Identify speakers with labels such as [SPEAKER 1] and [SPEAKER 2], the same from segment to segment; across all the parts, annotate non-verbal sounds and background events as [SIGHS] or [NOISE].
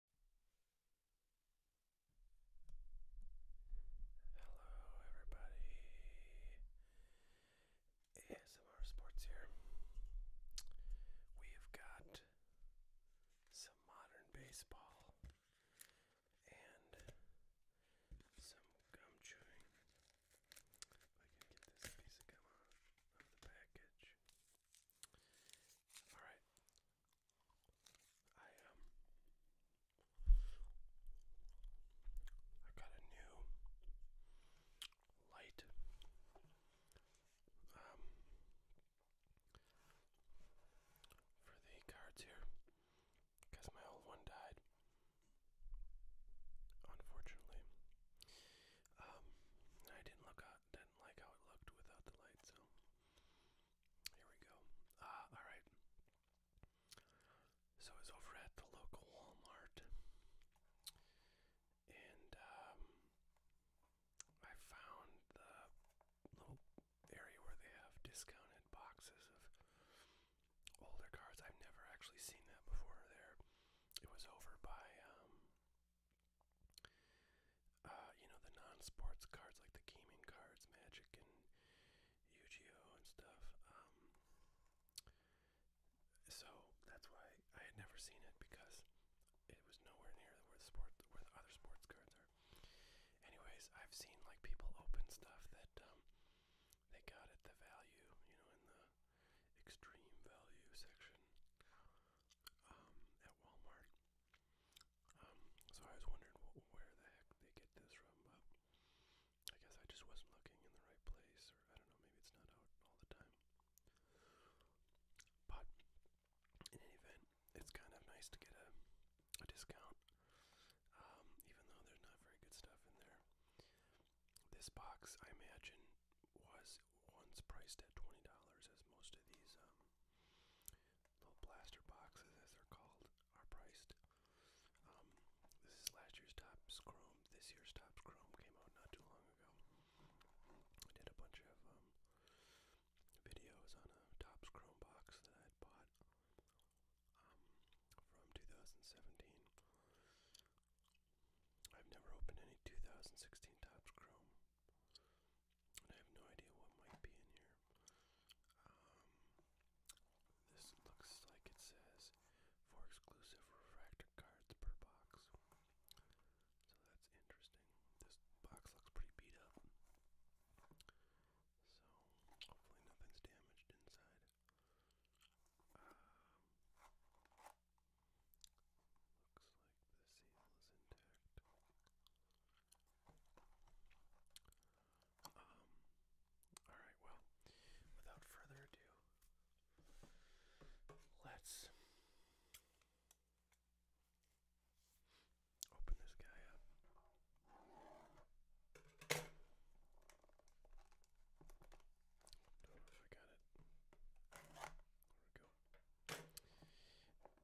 [SPEAKER 1] Hello, everybody. ASMR Sports here. We've got some modern baseball and some gum chewing. If I can get this piece of gum out the package. Alright, I um I got a new light. Um for the cards here because my old one died unfortunately um I didn't look didn't like how it looked without the light so here we go. Ah, all right. So I was over at the local Walmart, and um, I found the little area where they have discounted boxes of older cards. I've never actually seen that before. There, it was over by um, uh, you know, the non-sports cards like the gaming cards, Magic and Yu-Gi-Oh and stuff. Um, so that's why I had never seen it because it was nowhere near where the sport, where the other sports cards are. Anyways, I've seen like people open stuff that um, they got at the value, you know, in the extreme value section um, at Walmart. Um, so I was wondering wh where the heck they get this from, but I guess I just wasn't looking in the right place, or I don't know, maybe it's not out all the time. But in any event, it's kind of nice to get a, a discount, um, even though there's not very good stuff in there. This box, I imagine, was once priced at $20, as most of these um, Little blaster boxes, as they're called, are priced. Um, this is last year's Topps Chrome. This year's Topps Chrome came out not too long ago. I did a bunch of um, videos on a Topps Chrome box that I had bought um, from 2017. I've never opened any 2016 Topps Chrome. I have no idea what might be in here. Um, this looks like it says for exclusive refractor cards per box. So that's interesting. This box looks pretty beat up. So hopefully nothing's damaged inside. Um, Looks like the seal is intact. Um, alright, well, without further ado, let's open this guy up. Don't know if I got it. There we go.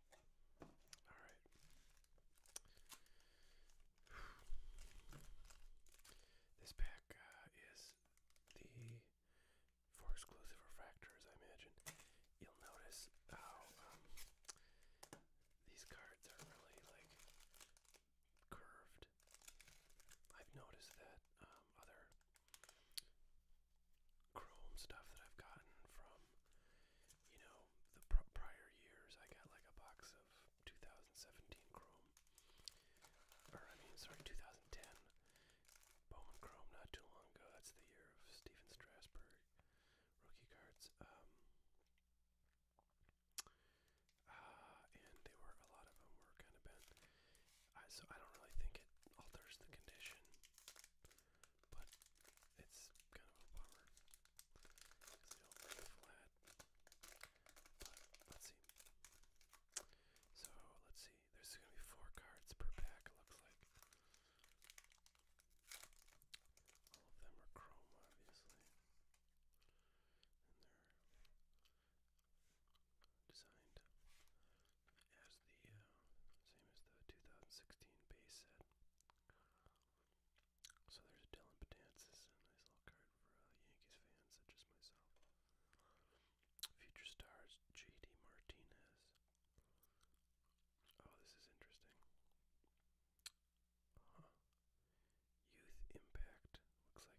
[SPEAKER 1] All right. [SIGHS] This pack uh, is the for exclusive refractors, I imagine. You'll notice how um, these cards are really like curved. I've noticed that um, other chrome stuff that I've gotten from, you know, the pr prior years. I got like a box of 2017 chrome, or I mean, sorry, 2010 Bowman chrome. Not too long ago. That's the year of Stephen Strasburg rookie cards. Um, uh, and they were a lot of them were kind of bent. I, so I don't really think it alters the condition but it's kind of a bummer because they do flat. But let's see. So let's see. There's gonna be four cards per pack. looks like all of them are chrome, obviously, and they're designed as the uh, same as the 2016 base set. So there's Dylan Betances, a nice little card for uh, Yankees fans such as myself. Future stars J.D. Martinez. Oh, this is interesting. Youth Impact looks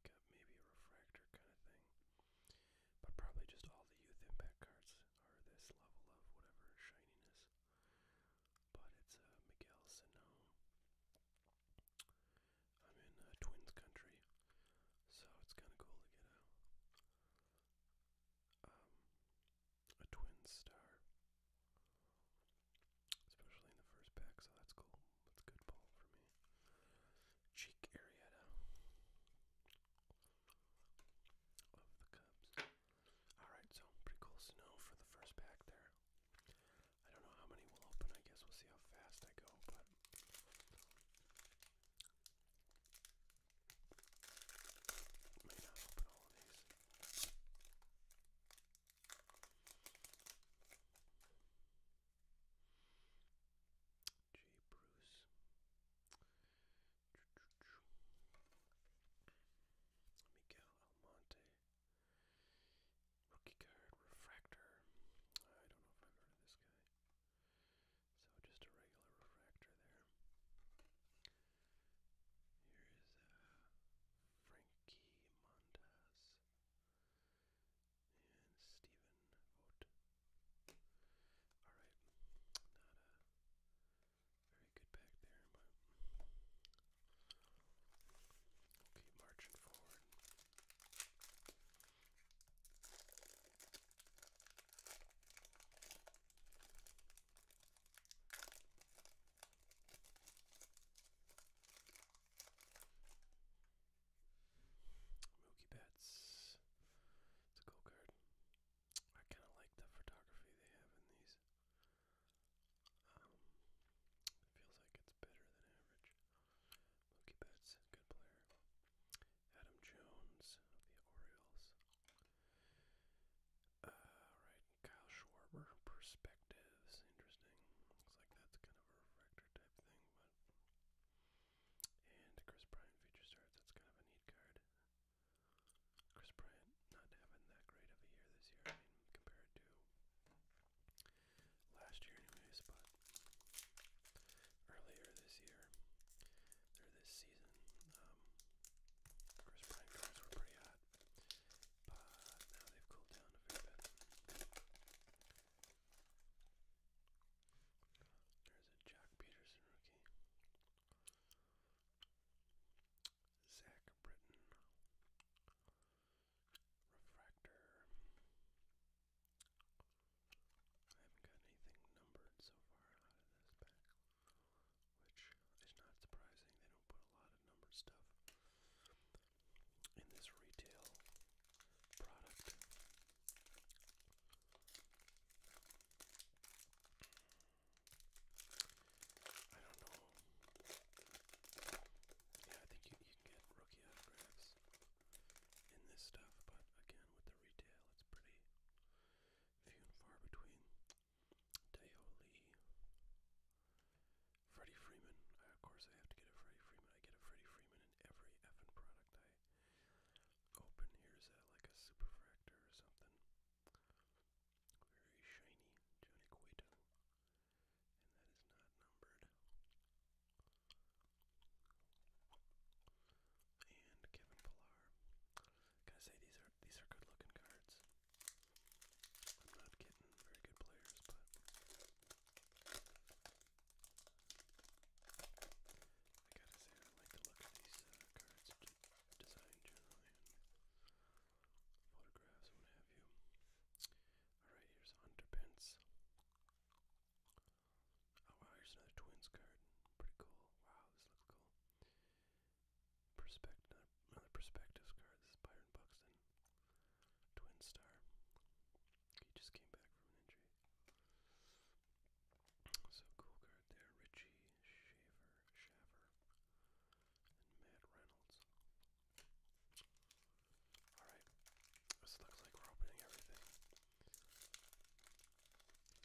[SPEAKER 1] like maybe a refractor kind of thing, but probably just all the Youth Impact cards items this level of whatever shininess. But it's uh, Miguel Sano. I'm in uh, Twins Country, so it's kind of cool to get um, a a Twin Star, especially in the first pack. So that's cool. That's good pull for me. Cheek Arietta of the Cubs. Alright, so pretty cool snow for the first pack there. I don't know how many we'll open. I guess we'll see how fast I go, but. May not open all of these. J. Bruce. Miguel Almonte. Rookie card, Refractor. I don't know if I've heard of this guy. So just a regular Refractor there. Here is uh, Frankie Montas and Stephen Alright, very good back there, but marching forward. Mookie Betts. It's a cool card. I kind of like the photography they have in these. Um, it feels like it's better than average. Mookie Betts, good player. Adam Jones of the Orioles. Uh, right, Kyle Schwarber, perspectives, interesting. Looks like that's kind of a refractor type thing, And Chris Bryant feature starts. That's kind of a neat card. Chris Bryant not having that great of a year this year, compared to last year, anyways, but earlier this year, or this season, um, Chris Bryant cars were pretty hot, but now they've cooled down a bit. There's a Jack Peterson rookie. Zach Britton, Refractor. I haven't got anything numbered so far out of this pack, which is not surprising. They don't put a lot of numbered stuff in this retail product. I don't know. Yeah, I think you, you can get rookie autographs in this stuff, but again, with the retail, it's pretty few and far between. Deo Lee, Freddie Freeman. of course, I have to get a Freddie Freeman. I get a Freddie Freeman in every effing product I open. Here's a, like a superfractor or something. Very shiny Joniquito. And that is not numbered. And Kevin Pillar. Gotta say these are these are good looking cards. I'm not getting very good players, but I gotta say, I like the look of these uh, cards design generally photographs what have you. Alright, here's Hunter oh, wow, here's another Twins card. Pretty cool. Wow, this looks cool. Perspect another, another card. This is Byron Buxton. Twin star. He just came back from injury. So cool card there, Richie Shaver, Shaver, and Matt Reynolds. Alright, this looks like we're opening everything. This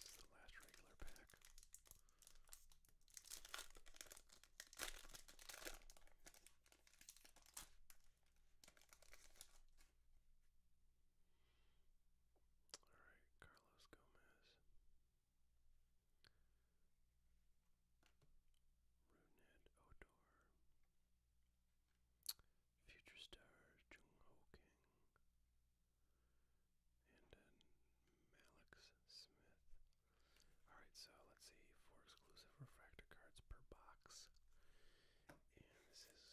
[SPEAKER 1] is the last regular pack. All right, Carlos Gomez. Runed Odor. Future star Jung Ho King. And then Smith. Alright, so let's see. Four exclusive refractor cards per box. And this is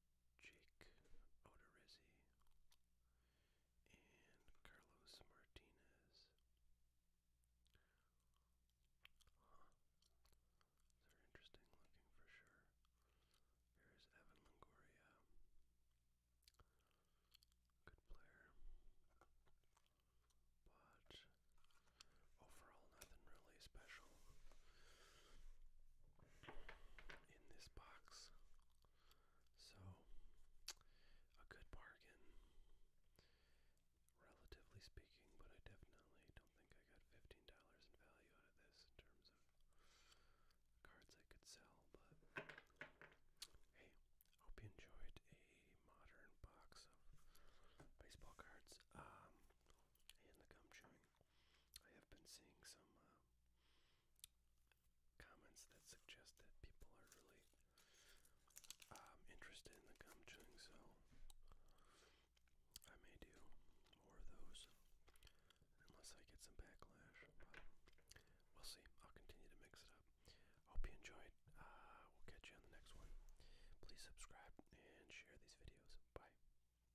[SPEAKER 1] Jake Odorizzi, and Carlos Martinez. Huh. They're interesting looking for sure. Here's Evan Longoria. Good player. But overall, nothing really special in this box. So, a good bargain, relatively speaking, but I definitely don't think I got $15 in value out of this in terms of cards I could sell. But hey, hope you enjoyed a modern box of baseball cards um, and the gum chewing. I have been seeing some uh, comments that suggest that people are really um, interested in the gum chewing, so I may do more of those unless I get some backlash. But we'll see. I'll continue to mix it up. Hope you enjoyed. Uh, we'll catch you on the next one. Please subscribe and share these videos. Bye.